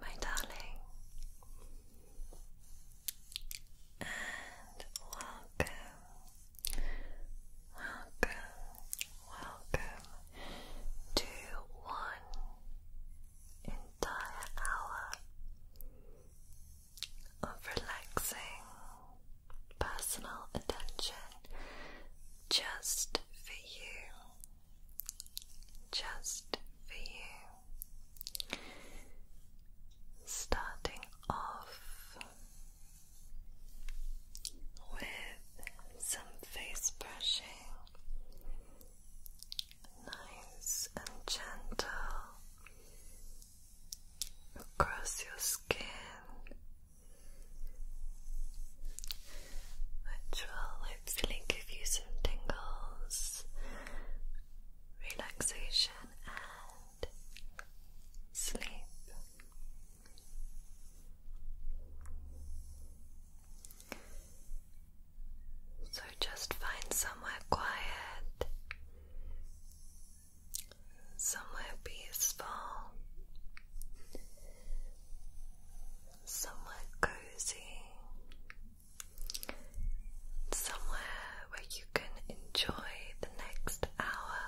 my darling, and welcome, welcome, welcome to one entire hour of relaxing personal attention just for you. Just for you. Starting off with some face brushing, nice and gentle across your skin, which will hopefully give you some tingles relaxation and sleep. So just find somewhere quiet, somewhere peaceful, somewhere cozy somewhere where you can enjoy the next hour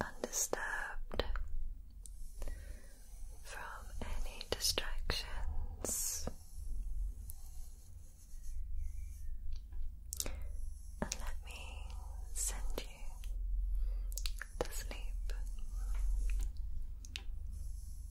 undisturbed from any distractions. And let me send you to sleep.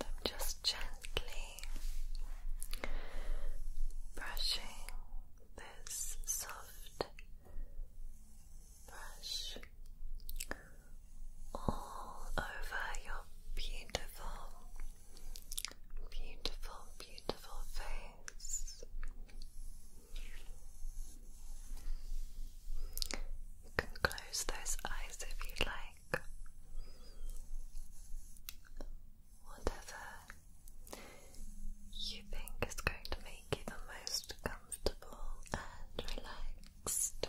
I'm just gently brushing this soft brush all over your beautiful, beautiful, beautiful face. You can close those eyes if you like. Whatever you think is going to make you the most comfortable and relaxed.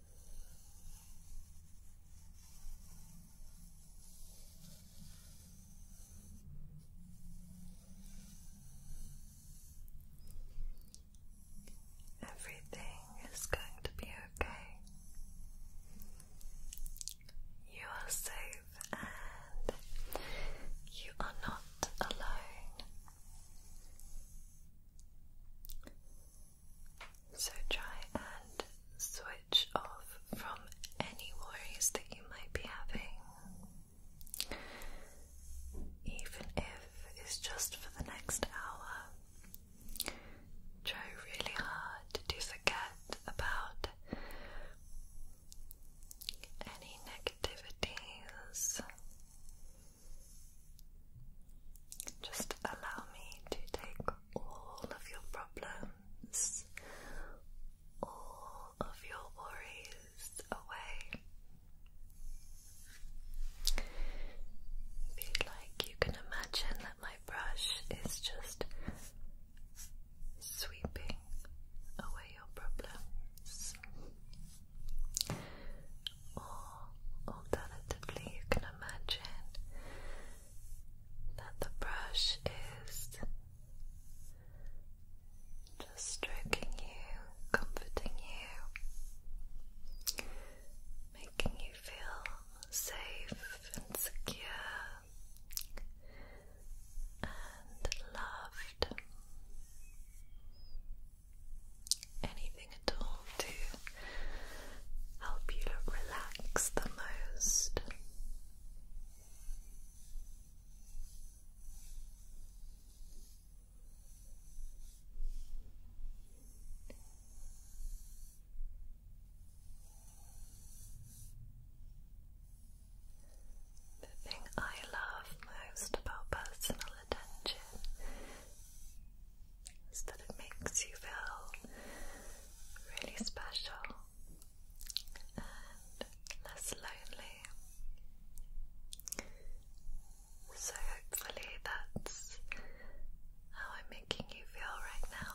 Everything is going to be okay. You are safe and you are not alone. So try and switch off from any worries that you might be having, even if it's just for the next hour. Try really hard to forget about any negativities just allow me to take all of your problems, all of your worries away. Feel like you can imagine that my brush is just sweeping away your problems. Or alternatively, you can imagine that the brush is just stroking you, comforting you, making you feel safe and secure and loved anything at all to help you relax the most. The thing I love most about personal attention is that it makes you feel really special and less lonely. So, hopefully, that's how I'm making you feel right now.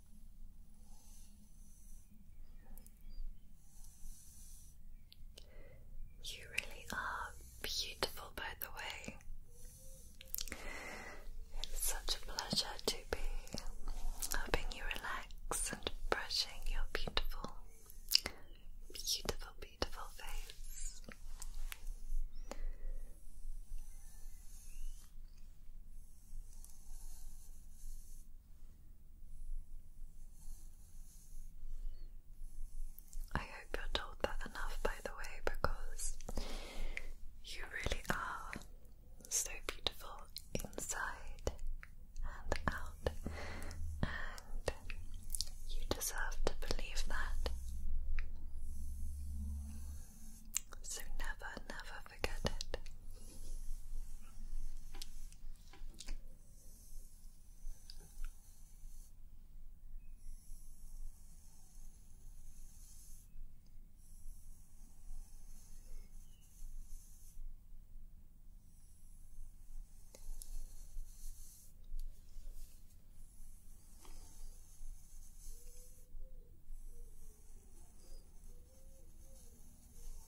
You really are beautiful, by the way. It's such a pleasure to be helping you relax and brushing your beautiful, beautiful, beautiful face. I hope you're told that enough, by the way, because you really are so beautiful inside and out, and you deserve to believe that. So, never, never forget it.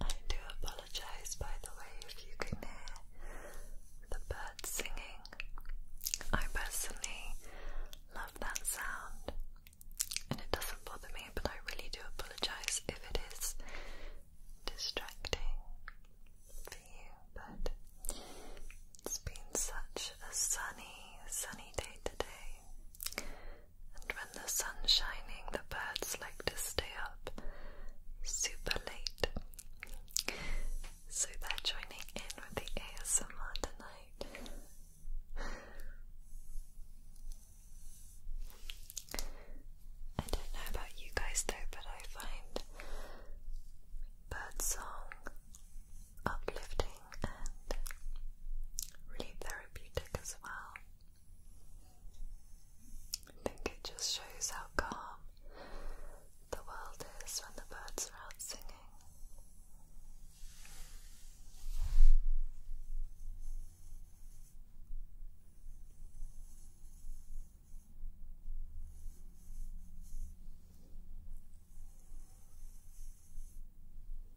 I do apologize, by the way, if you can hear the birds singing. I personally love that sound and it doesn't bother me, but I really do apologize if it is distracting for you. But it's been such a sunny, sunny day today. And when the sun's shining, the birds like to stay up super late. So they're joining in with the ASMR tonight. I don't know about you guys though, but I find bird uplifting and really therapeutic as well. I think it just shows how calm the world is when the birds are out singing.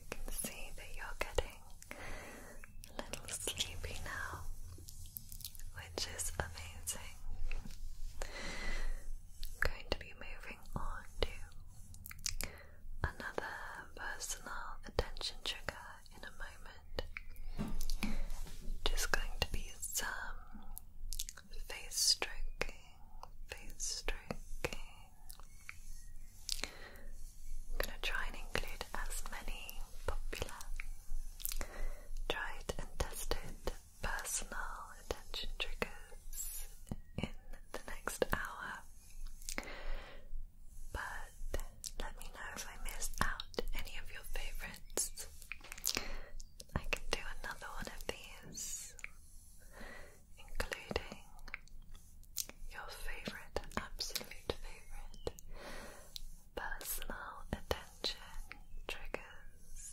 You can see that you're getting a little sleepy now, which is amazing. I'm going to be moving on to another personal attention trigger in a moment just going to be some face stroking, face stroking. I'm going to try and include as many popular, tried and tested personal attention triggers in the next hour. But let me know if I missed out any of your favorite cards. I can do another one of these, including your favorite, absolute favorite personal attention triggers.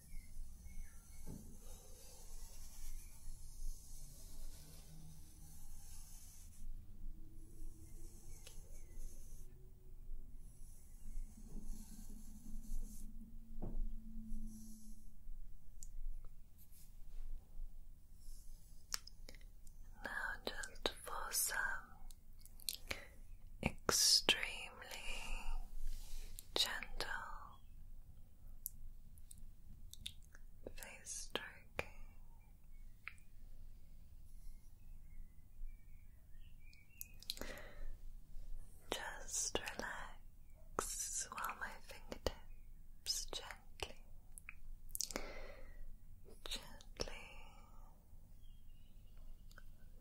Now, just for some extremely gentle face stroking. Just relax while my fingertips gently, gently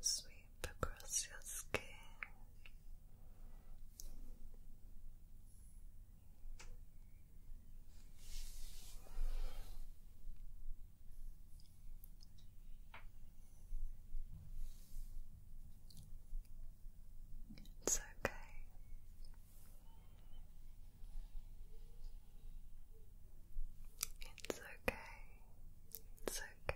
sweep deep across your skin. It's okay. It's okay. It's okay.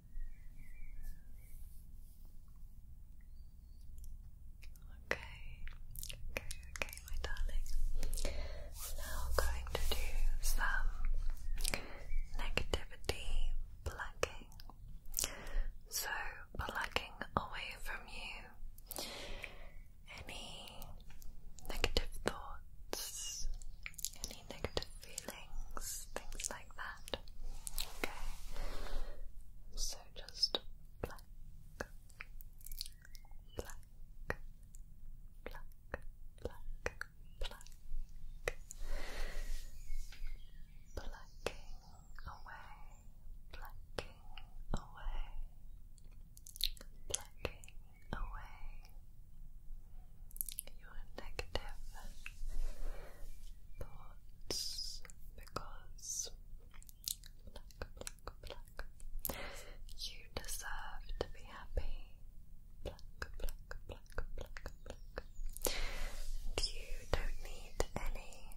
Okay, okay, okay, my darling. Now going to do some negativity plucking. So, plucking away from you any negative thoughts, any negative feelings, things like that. Okay, so just black, black, black, black, black, blacking away, blacking away, blacking away your negative thoughts because You deserve to be happy. And you don't need any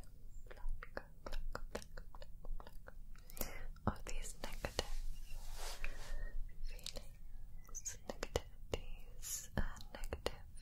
of these negative feelings, negativities, and negative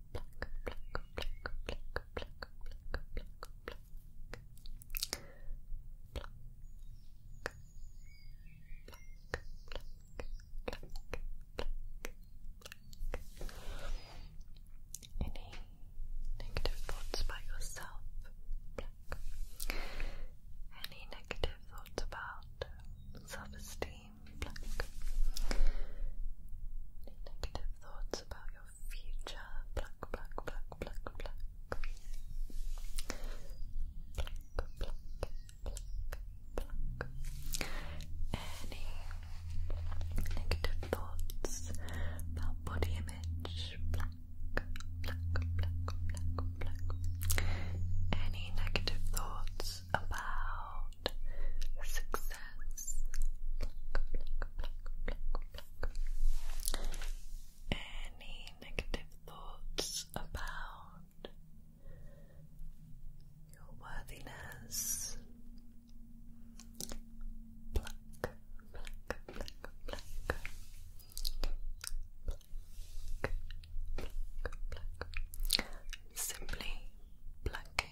Any negative thoughts about yourself? Any negative thoughts about self-esteem? Any negative thoughts about your future. Pluck, pluck, pluck, pluck, pluck. Pluck, pluck, pluck, pluck. Any negative thoughts about body image? Pluck, pluck, pluck, pluck, pluck. Any negative thoughts about success? Pluck, pluck, pluck, pluck. Any negative thoughts about your worthiness? Simply plucking.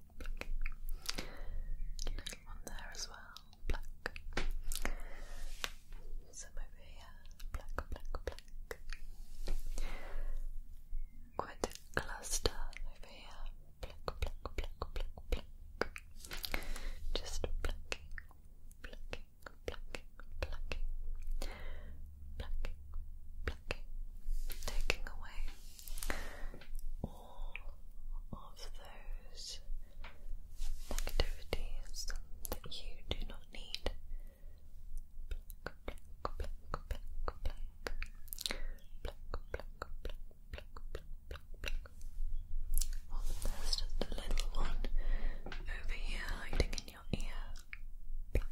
Little there as well, black. Some over here, black, black, black. Quite a cluster over here, black, black, black, black, black. Just blacking, blacking, blacking, blacking, blacking, blacking. Taking away all of those negativities that you do not need. Black, there's just a little one over here hiding in your ear.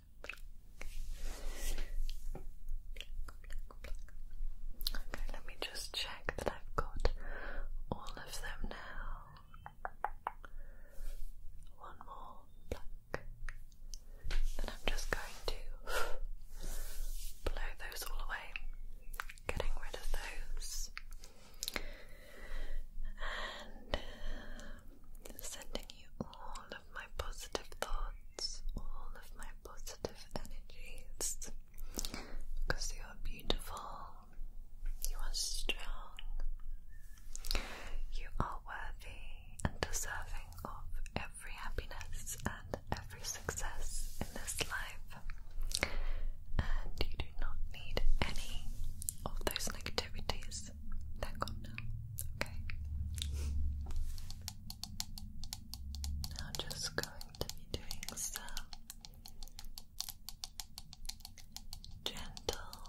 Okay, let me just check that I've got all of them now. One more pluck. I'm just going to blow those all away, getting rid of those. And uh, sending you all of my positive thoughts, all of my positive energies because you are beautiful, you are strong, you are worthy and deserving of every happiness and every success in this life, and you do not need any of those negativities that gone now? Okay. Now I'm just going to be doing some gentle,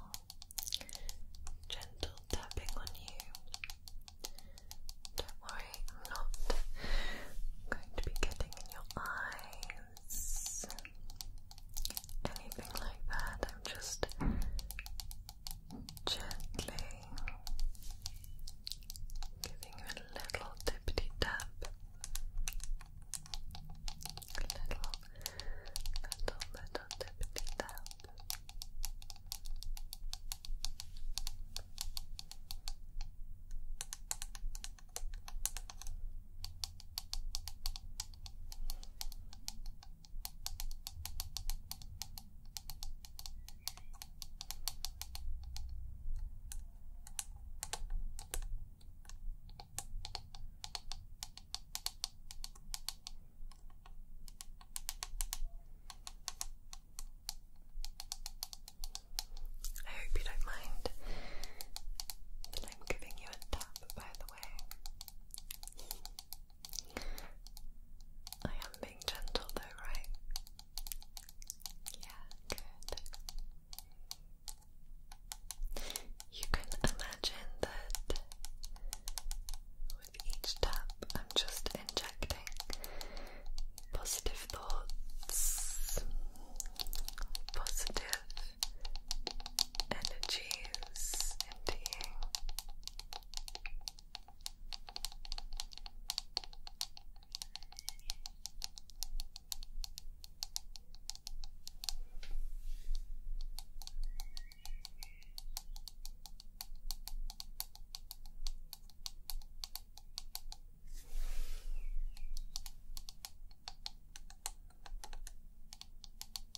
gentle tapping on you. Don't worry, I'm not going to be getting in your eyes anything like that. I'm just gently giving a little tippity tap. little, little, little tippity tap. I hope you don't mind that I'm giving you a tap, by the way. I am being gentle though, right? Yeah, good. You can imagine that with each tap, I'm just injecting positive thoughts, positive energies into you. Now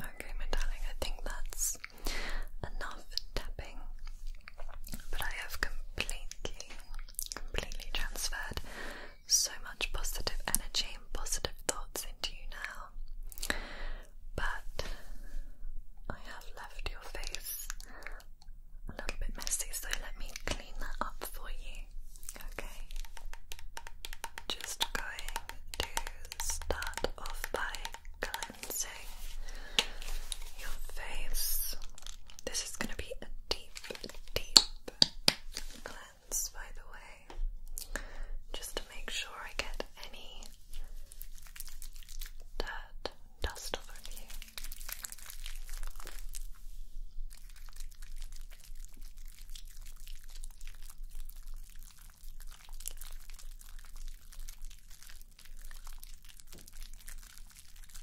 Okay, my darling, I think that's enough tapping, but I have completely, completely transferred so much positive energy and positive thoughts into you now. But I have left your face a little bit messy, so let me clean that up for you. Okay, just going to start off by cleansing your face. This is going to be a deep, deep cleanse, by the way, just to make sure I get any dirt dust over here.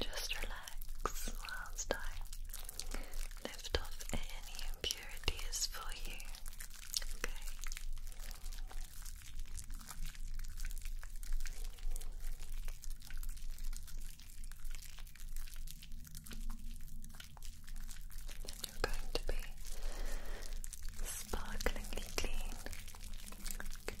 Just relax whilst I lift off any security is for you. Okay. And you're going to be sparklingly clean. Look at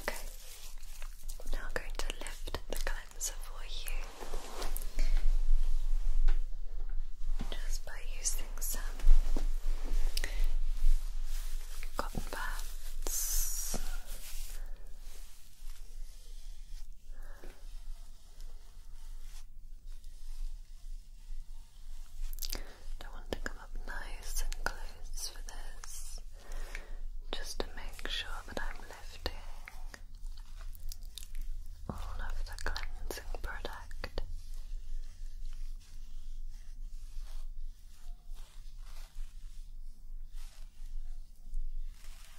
Okay, now going to lift the cleanser for you just by using some cotton pads. I want to come up nice and close for this just to make sure that I'm lifting all of the cleansing product.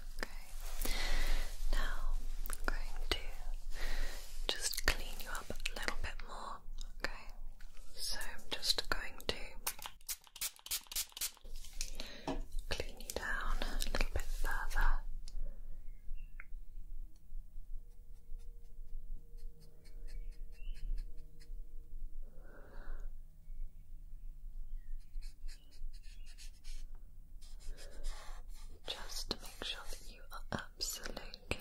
Okay. Now I'm going to just clean you up a little bit more. Okay. So I'm just going to clean you down a little bit further. Just to make sure that you are absolutely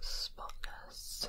spotless.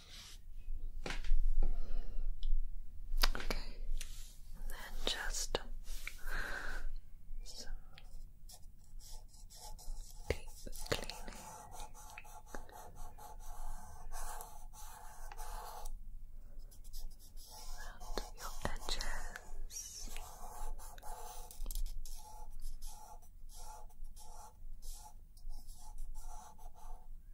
Okay, and then just some deep cleaning. Around your edges.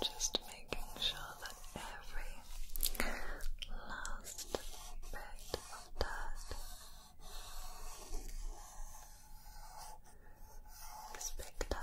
Just making sure that every last bit of dust is picked up.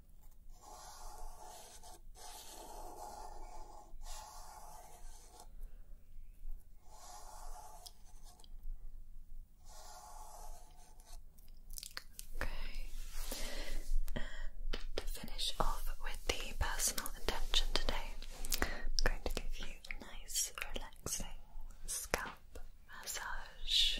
Okay, to finish off with the personal intention today, I'm going to give you a nice, relaxing scalp massage.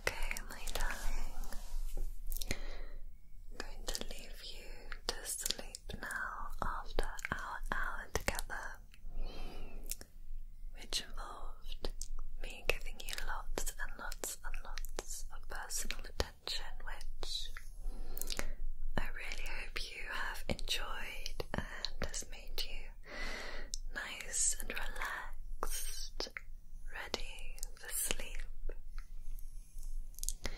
Okay, my darling, I'm going to leave you to sleep now after our hour together which involved me giving you lots and lots and lots of personal attention, which I really hope you have enjoyed and has made you nice and relaxed, ready for sleep. I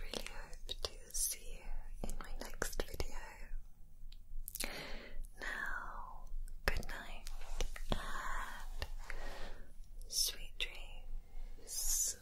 really hope to see you in my next video. Now, good night and sweet dreams.